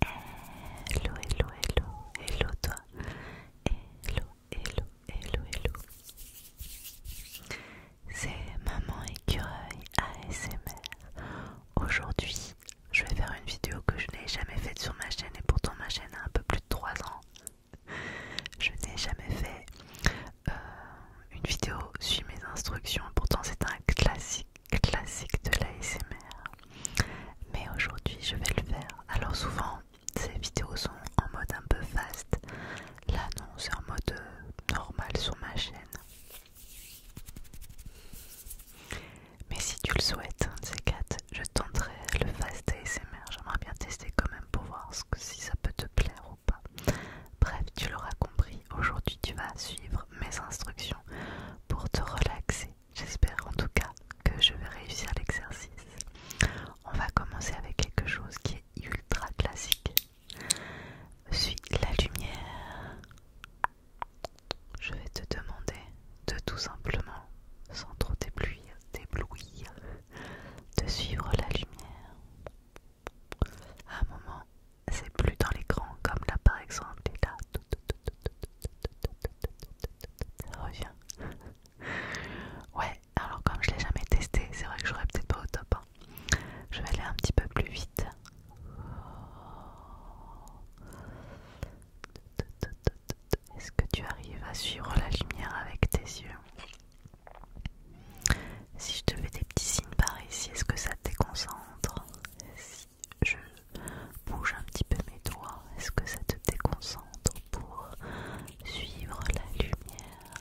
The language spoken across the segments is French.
Hello, hello, hello, hello toi. Hello, hello, hello, hello. C'est Maman Écureuil ASMR. Aujourd'hui, je vais faire une vidéo que je n'ai jamais faite sur ma chaîne et pourtant ma chaîne a un peu plus de 3 ans. Je n'ai jamais fait euh, une vidéo sur mes instructions, pourtant c'est un classique classique de l'ASMR. Mais aujourd'hui, je vais le faire. Alors, souvent, ces vidéos sont en mode un peu fast. Là, non, c'est en mode euh, normal sur ma chaîne. Mais si tu le souhaites, hein, ces 4, je tenterai le fast ASMR. J'aimerais bien tester quand même pour voir si ça peut te plaire ou pas. Bref, tu l'auras compris, aujourd'hui tu vas suivre mes instructions pour te relaxer. J'espère en tout cas que je vais réussir l'exercice. On va commencer avec quelque chose qui est ultra classique. Suis la lumière. Je vais te demander de tout simplement, sans trop t'éblouir, t'éblouir, de suivre la lumière. À un moment c'est plus dans l'écran, comme là par exemple, et là, ça revient. Ouais, alors comme je l'ai jamais testé, c'est vrai que j'aurais peut-être pas au top. Je vais aller un petit peu plus vite. Est-ce que tu arrives à suivre la lumière avec tes yeux Si je te fais des petits signes par ici, est-ce que ça te déconcentre je bouge un petit peu mes doigts, est-ce que ça te déconcentre pour suivre la lumière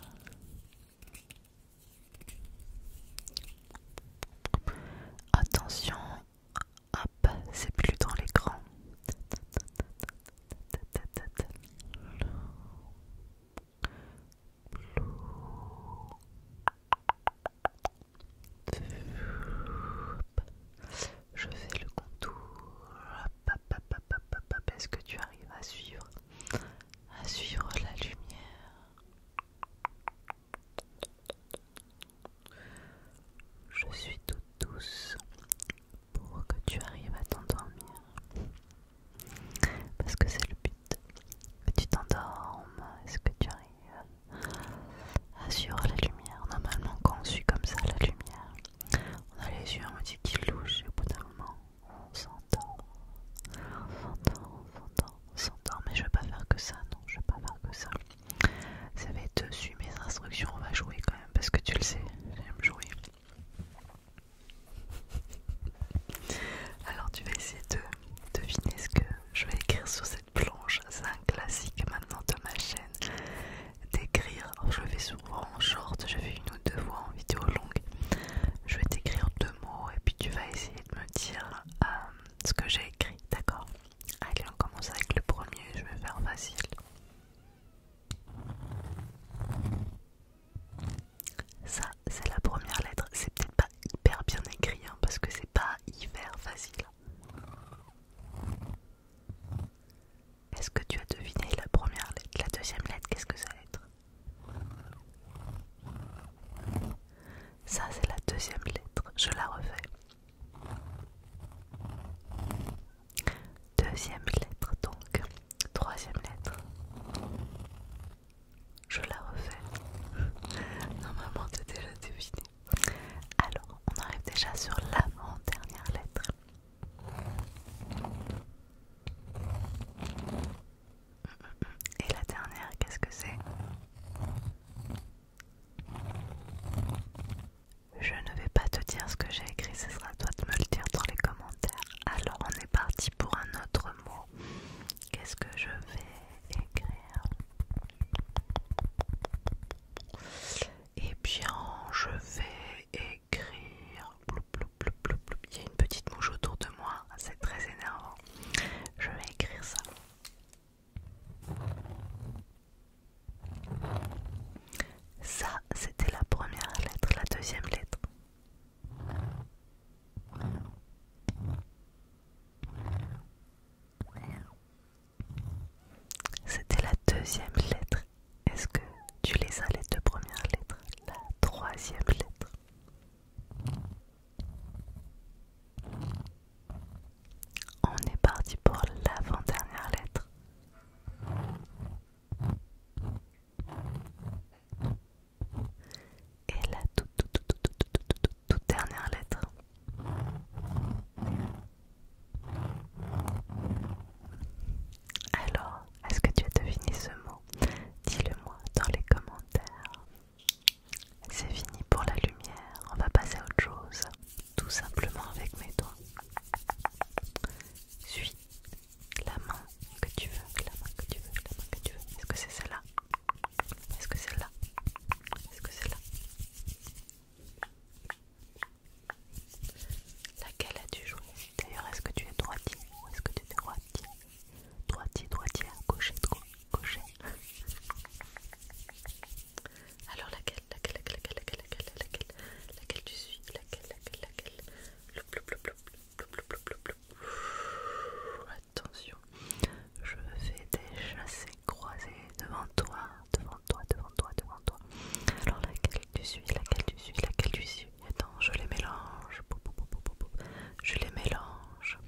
Attention, hop, c'est plus dans l'écran. Je fais le contour. Est-ce que tu arrives à suivre à suivre la lumière Je suis toute douce pour que tu arrives à t'endormir. Parce que c'est le but. Que tu t'endormes. Est-ce que tu arrives assure la lumière. Normalement, quand on suit comme ça, la lumière. On a les yeux, on dit qu'ils louchent, et au bout d'un moment, on s'entend. On Mais je vais pas faire que ça, non, je vais pas faire que ça. Ça va être dessus mes instructions, on va jouer quand même, parce que tu le sais, j'aime jouer. Alors tu vas essayer de devinez ce que je vais écrire sur cette planche. C'est un classique maintenant de ma chaîne d'écrire. Je le fais souvent en short, je fais une ou deux fois en vidéo longue. Je vais t'écrire deux mots et puis tu vas essayer de me dire euh, ce que j'ai écrit, d'accord Allez, on commence avec le premier, je vais faire facile. Ça c'est la première lettre. C'est peut-être pas hyper bien écrit hein, parce que c'est pas hyper facile. Est-ce que tu as deviné la première lettre La deuxième lettre, qu'est-ce que ça va être Ça, c'est la deuxième lettre. Je la refais. Deuxième lettre, donc. Troisième lettre. Je la refais. Normalement, t'as déjà deviné. Alors, on arrive déjà sur l'avant-dernière lettre. Et la dernière, qu'est-ce que c'est Je ne vais pas te dire ce que j'ai écrit, ce sera à toi de me le dire dans les commentaires. Alors, on est parti pour un autre mot qu'est-ce que je vais écrire Eh bien, je vais écrire. Il y a une petite mouche autour de moi, c'est très énervant. Je vais écrire ça. Ça, c'était la première lettre, la deuxième lettre. C'était la deuxième lettre. Est-ce que tu les as les deux premières lettres La troisième lettre. On est parti pour l'avant-dernière lettre et la toute, dernière lettre. Alors, est-ce que tu as deviné ce mot Dis-le-moi dans les commentaires. C'est fini pour la lumière, on va passer à autre chose, tout simplement avec mes doigts. Suis la main que tu veux, la main que tu veux, la main que tu veux. Est-ce que c'est celle-là est-ce que c'est là Est-ce que c'est là Laquelle as-tu joué D'ailleurs, est-ce que tu es droitier est-ce que tu es droitier Droitier, droitier, gaucher, gaucher. Alors laquelle, laquelle, laquelle, laquelle, laquelle, laquelle, tu suis Laquelle, laquelle, laquelle attention, je fais déjà chassés croisés devant toi, devant toi, devant toi, devant toi. Alors laquelle tu suis, laquelle tu suis, laquelle tu suis. Attends, je les mélange. Je les mélange.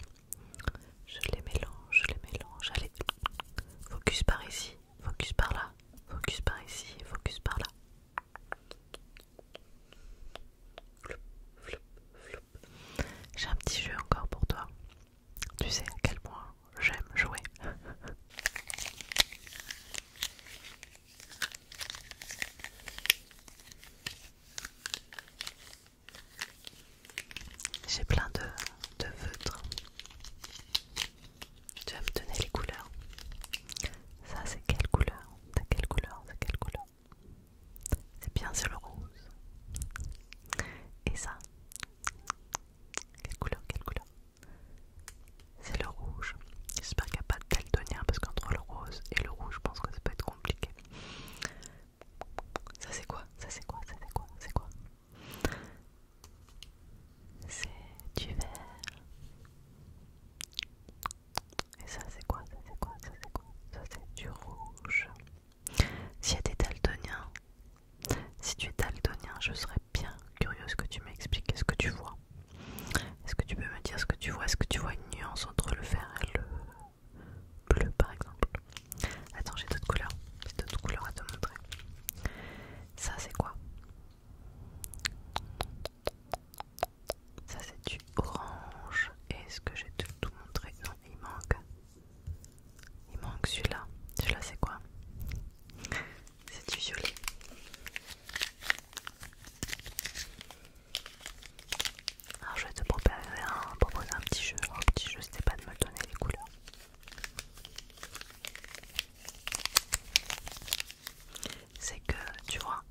Je les mélange, je les mélange. Allez, focus par ici, focus par là, focus par ici, focus par là. J'ai un petit jeu encore pour toi. Tu sais à quel point j'aime jouer. J'ai plein de, feutres. Tu vas me donner les couleurs. Ça c'est quelle couleur C'est quelle couleur C'est quelle couleur c'est bien, c'est le rose. Et ça Quelle couleur Quelle couleur C'est le rouge. J'espère qu'il n'y a pas de daltonien parce qu'entre le rose et le rouge, je pense que ça peut être compliqué. Ça c'est quoi Ça c'est quoi Ça c'est quoi C'est quoi C'est du vert. Et ça c'est quoi Ça c'est quoi Ça c'est quoi Ça c'est du rouge. Si y a des daltoniens, si tu es daltonien, je serais bien curieuse que tu m'expliques ce que tu vois. Est-ce que tu peux me dire ce que tu vois Est-ce que tu vois une nuance entre le vert et le bleu par exemple Attends, j'ai d'autres couleurs. J'ai d'autres couleurs à te montrer. Ça c'est quoi ça c'est du orange. Est-ce que j'ai tout, tout montré Non, il manque. Il manque celui-là. Celui-là c'est quoi C'est du violet. Alors je vais te proposer un, petit jeu. un petit jeu c'était pas de me donner les couleurs c'est que tu vois,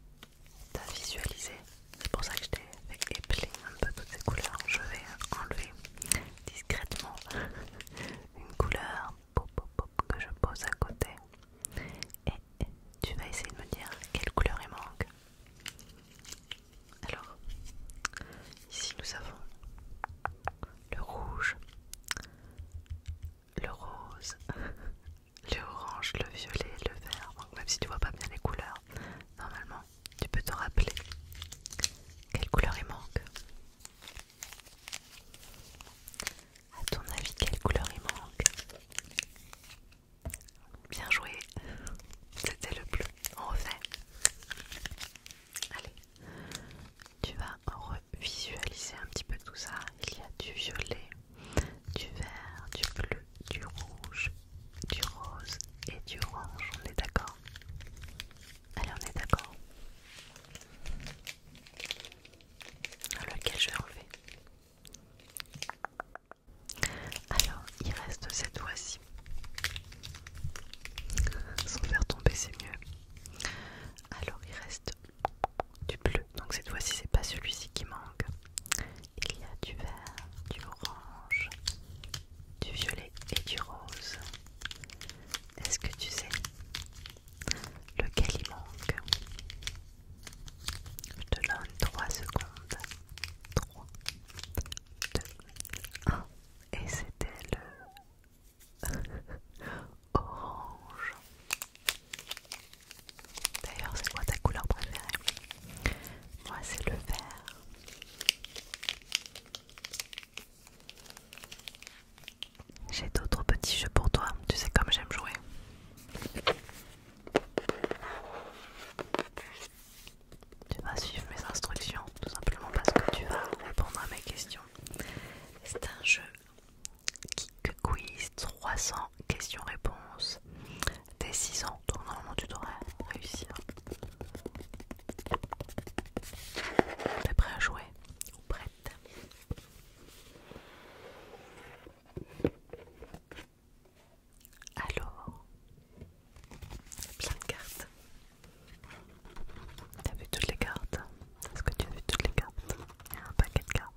t'as visualisé, c'est pour ça que je t'ai fait un peu toutes ces couleurs. Je vais enlever discrètement une couleur que je pose à côté et tu vas essayer de me dire quelle couleur il manque. Alors, ici nous avons le rouge, le rose, le orange, le violet, le vert. même si tu vois pas bien les couleurs, normalement, tu peux te rappeler quelle couleur il manque. À ton avis, quelle couleur il manque Bien joué, c'était le bleu. On refait. Allez, tu vas revisualiser un petit peu tout ça. Il y a du violet, du vert, du bleu, du rouge, du rose et du orange. On est d'accord Allez, on est d'accord Lequel je vais enlever alors, il reste cette fois-ci. Sans faire tomber, c'est mieux. Alors, il reste du bleu. Donc cette fois-ci, c'est pas celui-ci qui manque. Il y a du vert, du orange, du violet et du rose. Est-ce que tu sais lequel il manque Je te donne 3 secondes. 3, 2, 1. Et c'était le orange. D'ailleurs, c'est quoi ta couleur préférée Moi, c'est le vert. J'ai d'autres petits jeux pour toi, tu sais comme j'aime jouer. Tu vas suivre mes instructions, tout simplement parce que tu vas répondre à mes questions. C'est un jeu Kick Quiz, 300 questions-réponses, des 6 ans, donc normalement tu devrais réussir. T'es prêt à jouer Ou prête Alors, plein de cartes. T'as vu toutes les cartes Est-ce que tu as vu toutes les cartes Il y a un paquet de cartes.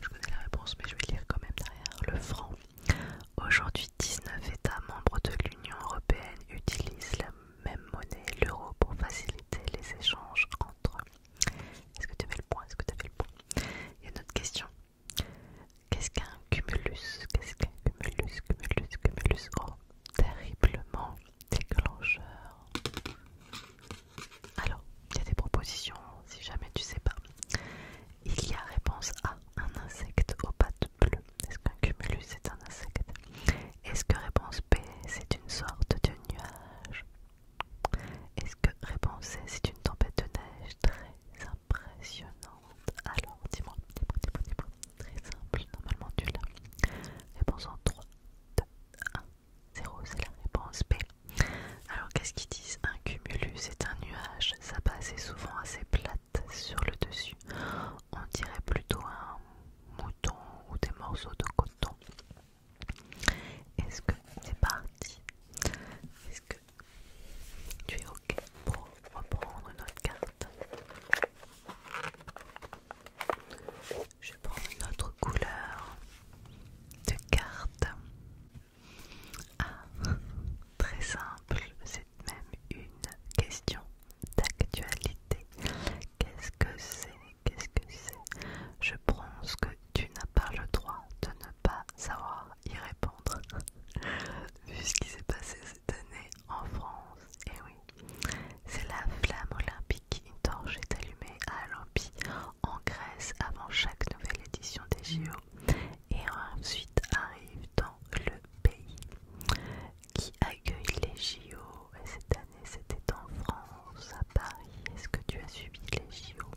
Je connais la réponse, mais je vais lire quand même derrière. Le franc. Aujourd'hui, 19 États membres de l'Union européenne utilisent la même monnaie, l'euro, pour faciliter les échanges entre eux. Est-ce que tu fais le point Est-ce que tu as le point Il y a une autre question. Qu'est-ce qu'un cumulus Qu'est-ce qu'un cumulus oh, terriblement déclencheur. Alors, il y a des propositions si jamais tu sais pas. Il y a réponse A, un insecte aux pattes bleues. Est-ce qu'un cumulus est un insecte Est-ce que réponse B, c'est une sorte de nuage Est-ce que réponse C, c'est une tempête de neige très impressionnante Alors, dis-moi, Très simple, normalement tu l'as. Réponse en 3, 1, 0, c'est la réponse B. Alors qu'est-ce qu'ils disent Un cumulus est un nuage, Ça passe est souvent assez plate sur le dessus. On dirait plutôt un mouton ou des morceaux de coton. Est-ce que c'est parti Est-ce que tu es OK pour reprendre notre carte je prends une autre couleur de carte. Ah, très simple, c'est même une question d'actualité. Qu'est-ce que c'est Qu'est-ce que c'est Je pense que tu n'as pas le droit de ne pas savoir y répondre. Vu ce qui s'est passé cette année en France, et eh oui, c'est la flamme olympique. Une torche est allumée à Olympie, en Grèce, avant chaque nouvelle édition des JO. Et ensuite arrive dans le pays qui accueille les JO. Et cette année, c'était en France, à Paris. Est-ce que tu as subi les JO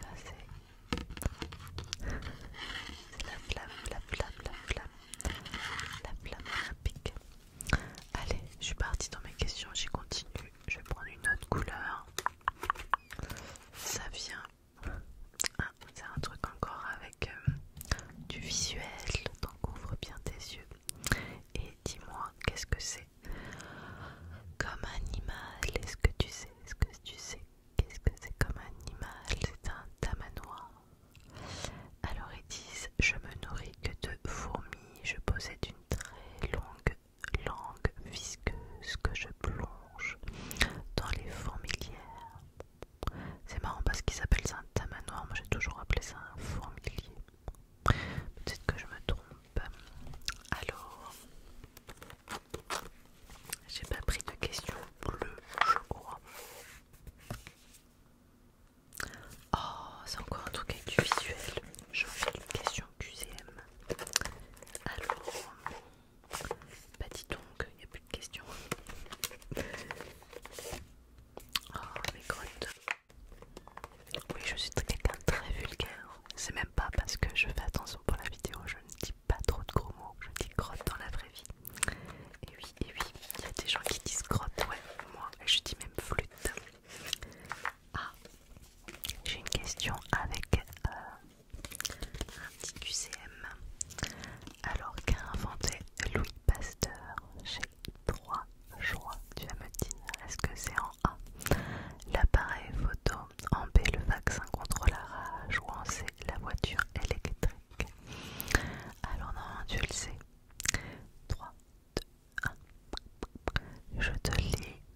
Ça c'est... la flamme, la flamme, la flamme. La flamme olympique. Allez, je suis partie dans mes questions, j'y continue. Je vais prendre une autre couleur. Ça vient. Hein, c'est un truc encore avec euh, du visuel. Donc ouvre bien tes yeux. Et dis-moi, qu'est-ce que c'est Comme animal, est-ce que tu sais Est-ce que tu sais Qu'est-ce que c'est comme animal C'est un tamanoir. Alors ils disent Je me nourris que de fourmis, je possède une très longue langue visqueuse que je plonge dans les fourmilières. C'est marrant parce qu'ils appellent ça un tamanoir, moi j'ai toujours appelé ça un fourmilier. Peut-être que je me trompe. Alors. J'ai pas pris de questions bleues, je crois. Oh, c'est encore un truc avec du visuel. J'en fais une question QCM. Alors, bah dis donc, il n'y a plus de questions. Oh, mes grottes. Oui, je suis quelqu'un très vulgaire. C'est même pas parce que je fais attention pour la vidéo, je ne dis pas trop de gros mots, je dis grotte dans la vraie vie. Et oui, et oui, il y a des gens qui disent grotte, ouais, moi je dis même flûte. Ah, j'ai une question avec euh, un petit QCM. Alors qu'a inventé Louis Pasteur J'ai trois choix, tu vas me dire, est-ce que c'est en A L'appareil photo, en B le vaccin contre la rage ou en C la voiture électrique alors non, tu le sais. 3, 2, 1. Je te lis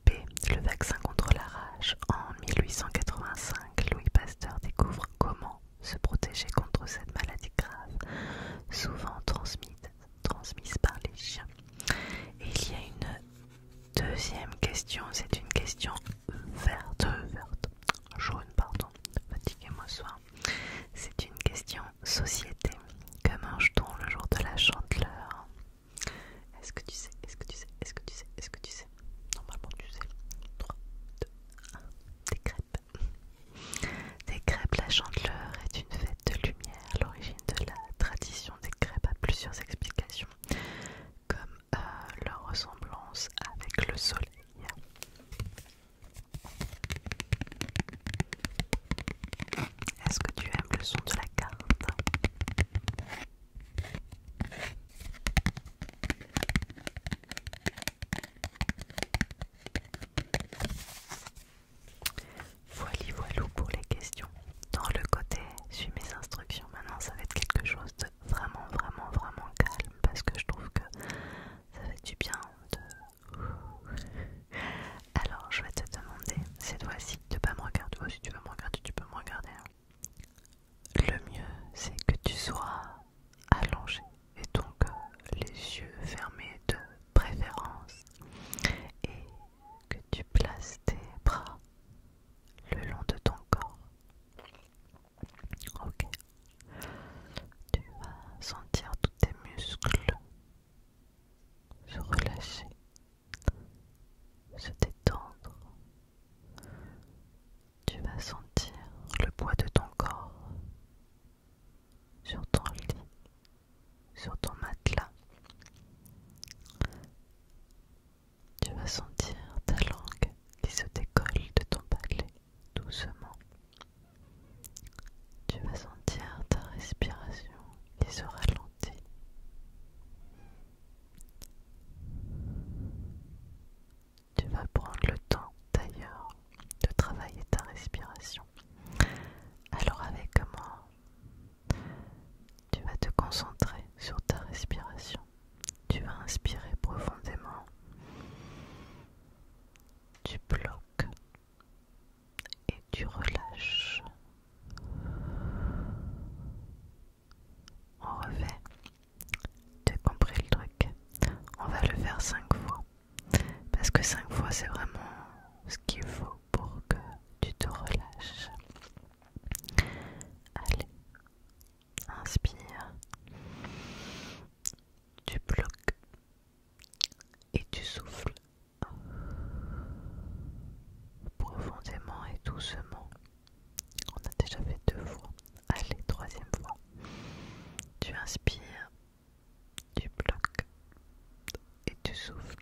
B. Le vaccin contre la rage. En 1885, Louis Pasteur découvre comment se protéger contre cette maladie grave, souvent transmise, transmise par les chiens. Et il y a une deuxième question, c'est une question verte, jaune, pardon, fatiguez-moi soir. C'est une question société. Que mange t le jour de la chandeleur Est-ce que tu sais Est-ce que tu sais Est-ce que tu sais Est-ce que tu sais Normalement tu sais. 3, 2, 1. Des crêpes. Des crêpes, la chandeleur est une fête de lumière, l'origine de la tradition des crêpes a plusieurs explications, comme euh, leur ressemblance avec le soleil. Est-ce que tu aimes le son de la carte Voili voilou pour les questions. Dans le côté, suis mes instructions. Maintenant, ça va être quelque chose de vraiment, vraiment, vraiment calme parce que je trouve que ça fait du bien de. Alors, je vais te demander cette fois-ci de pas me regarder. Oh, si tu veux me regarder, tu peux me regarder. Hein. Le mieux, c'est que tu sois allongé et donc euh, les yeux fermés de préférence et que tu places tes bras le long de ton corps. Ok. Tu vas sentir tous tes muscles se relâcher, se détendre. Tu vas sentir le poids de ton corps sur ton lit, sur ton matelas. Tu vas sentir ta langue qui se décolle de ton palais doucement. Tu vas sentir ta respiration qui se ralentit. Tu vas prendre le temps d'ailleurs de travailler ta respiration. Alors avec moi, tu vas te concentrer sur ta respiration tu vas inspirer profondément, tu bloques et tu relâches. On refait. Tu as compris le truc. On va le faire cinq fois. Parce que cinq fois, c'est vraiment ce qu'il faut pour que tu te relâches. Allez, inspire, tu bloques et tu souffles profondément et doucement. On a déjà fait deux fois. Allez, troisième fois. Tu inspires, tu bloques et tu souffles.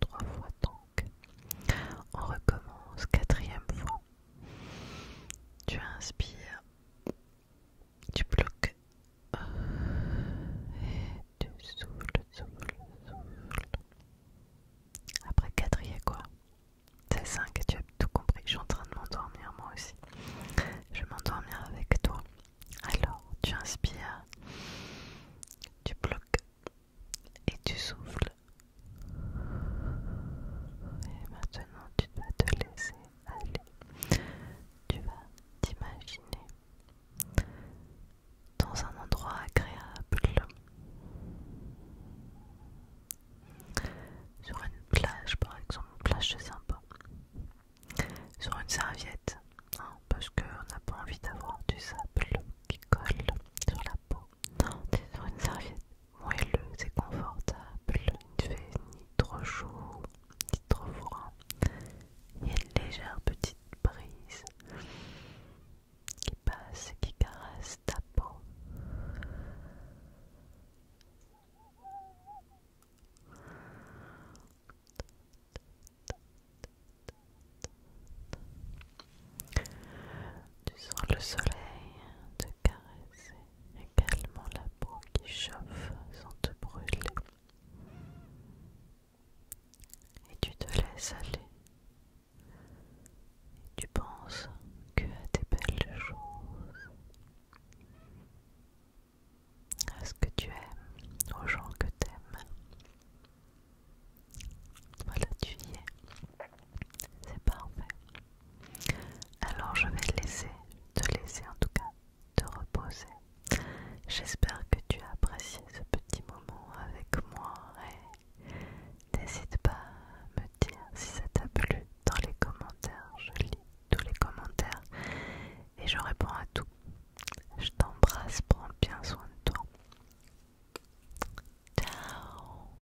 Trois fois temps. On recommence quatrième fois. Tu inspires, tu bloques et tu souffles, souffles, souffles. Après quatrième quoi C'est 5 tu as tout compris. Je suis en train de m'endormir moi aussi. Je vais m'endormir avec toi. Alors, tu inspires, tu bloques et tu souffles. Et maintenant, tu dois te laisser aller. Tu vas t'imaginer dans un endroit agréable, sur une plage par exemple, une plage sympa, sur une serviette non, parce qu'on n'a pas envie d'avoir du sable qui colle sur la peau. Non, sur une serviette moelleuse et confortable, il ne fait ni trop chaud ni trop froid. Il y a une légère petite brise qui passe et qui caresse ta peau. Tu sens le soleil te caresser également la peau qui chauffe sans te brûler. Et tu te laisses aller. Et tu penses que à tes belles choses, à ce que tu aimes, aux gens que t'aimes. Voilà, tu y es. C'est parfait. Alors je vais te laisser, te laisser en tout cas, te reposer. J'espère que tu as apprécié ce petit moment avec moi et n'hésite pas à me dire si ça t'a plu dans les commentaires. Je lis tous les commentaires et je réponds à tout. Je t'embrasse, prends bien soin de toi. Ciao